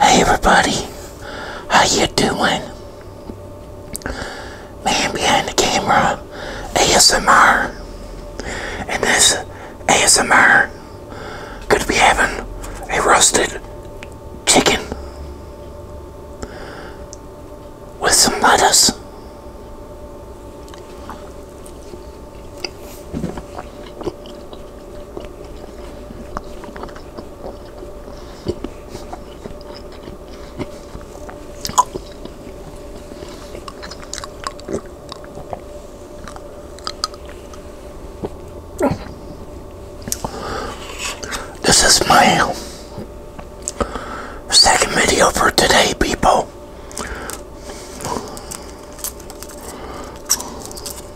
Hey everybody, how you doing? Man behind the camera, ASMR, and this ASMR could be having a roasted chicken with some lettuce. This is my second video for today, people.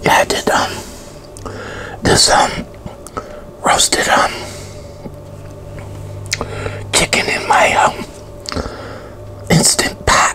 Yeah, I did um this um roasted um chicken in my um instant pot.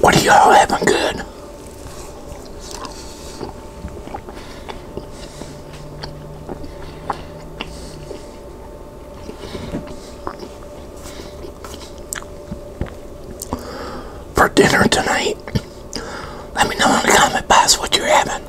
What are y'all having good? for dinner tonight. Let me know in the comment box what you're having.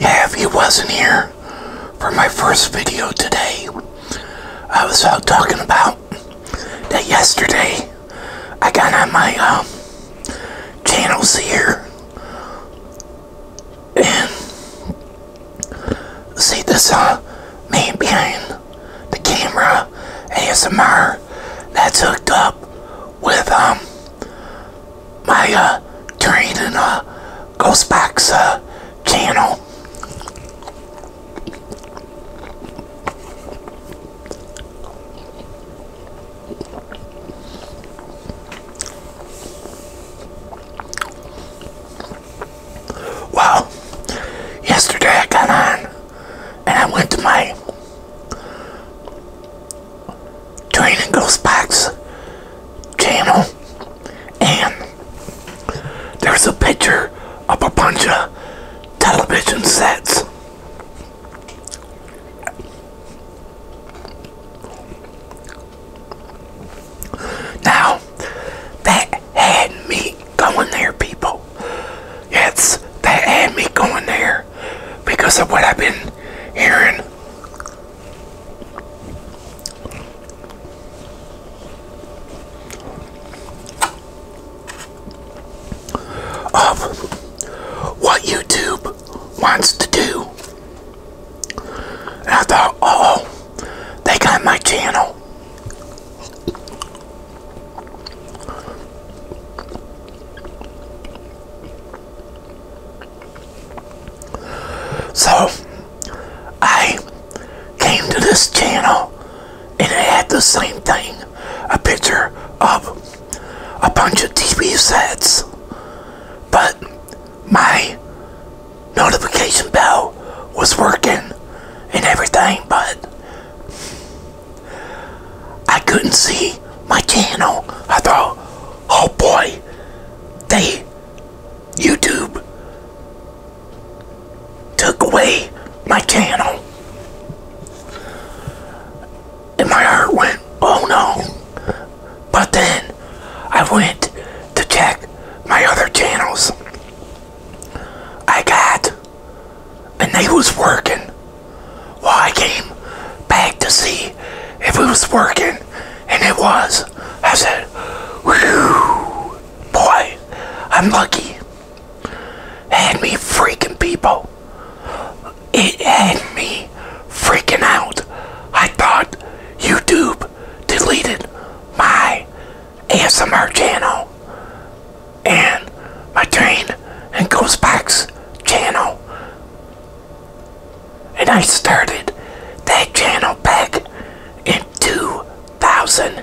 Yeah, if he wasn't here for my first video today, I was out talking about that yesterday I got on my um, channels here and see this uh, man behind the camera ASMR that's hooked up with um my uh train and uh ghost box uh channel well yesterday I got on and I went to my Training Ghost Box channel, and there's a picture of a bunch of television sets. Now, that had me going there, people. Yes, that had me going there because of what I've been hearing. Of what YouTube wants to do. I thought, oh, they got my channel. So I came to this channel and it had the same thing a picture of a bunch of TV sets, but my notification bell was working and everything, but I couldn't see my channel. I thought, Oh boy, they YouTube took away my channel. And my heart went, oh no. But then I went to check my other channels. I got, and they was working. Well, I came back to see if it was working, and it was. I said, Whew, boy, I'm lucky. Had me freaking people. It had me freaking out. I thought YouTube deleted my ASMR channel and my train and ghost box channel and I started that channel back in 2008.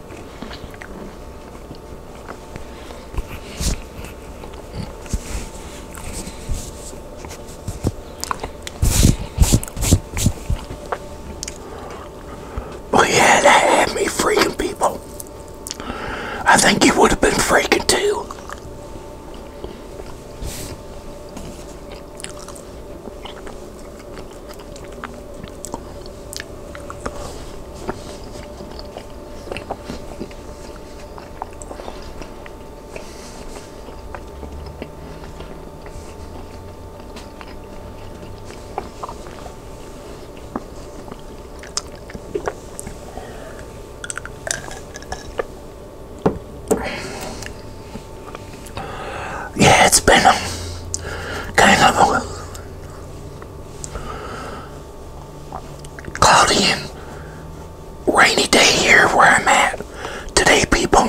Well, yeah, that had me freaking people. I think you would have been freaking too. Yeah, it's been a kind of a cloudy and rainy day here where I'm at today, people.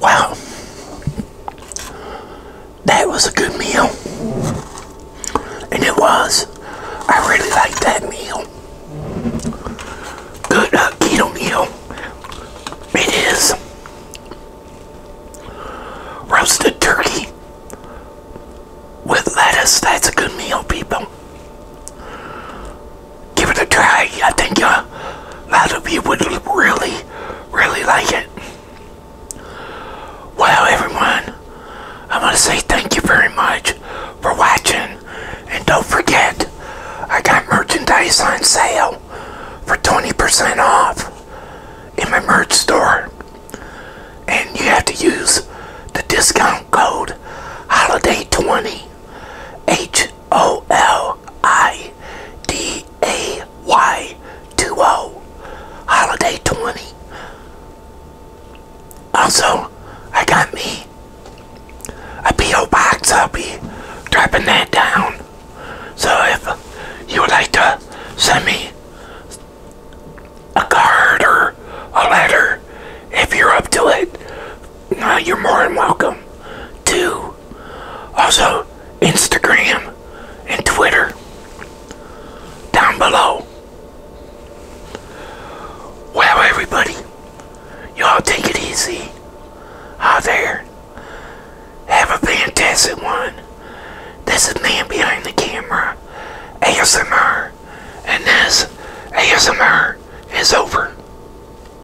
Wow. That was a good meal. And it was. I really liked that meal. Good uh, keto meal. It is roasted turkey with lettuce. That's a good meal, people give it a try. I think uh, a lot of you would really, really like it. Well, everyone, I want to say thank you very much for watching. And don't forget, I got merchandise on sale for 20% off in my merch store. And you have to use the discount code HOLIDAY20 H O L I D A Y 2 O. Holiday 20. Also, I got me a P.O. box. I'll be dropping that down. So if you would like to send me a card or a letter, if you're up to it, you're more than welcome to also Instagram and Twitter down below. Well, everybody, y'all take it easy out there. Have a fantastic one. This is Man Behind the Camera, ASMR, and this ASMR is over.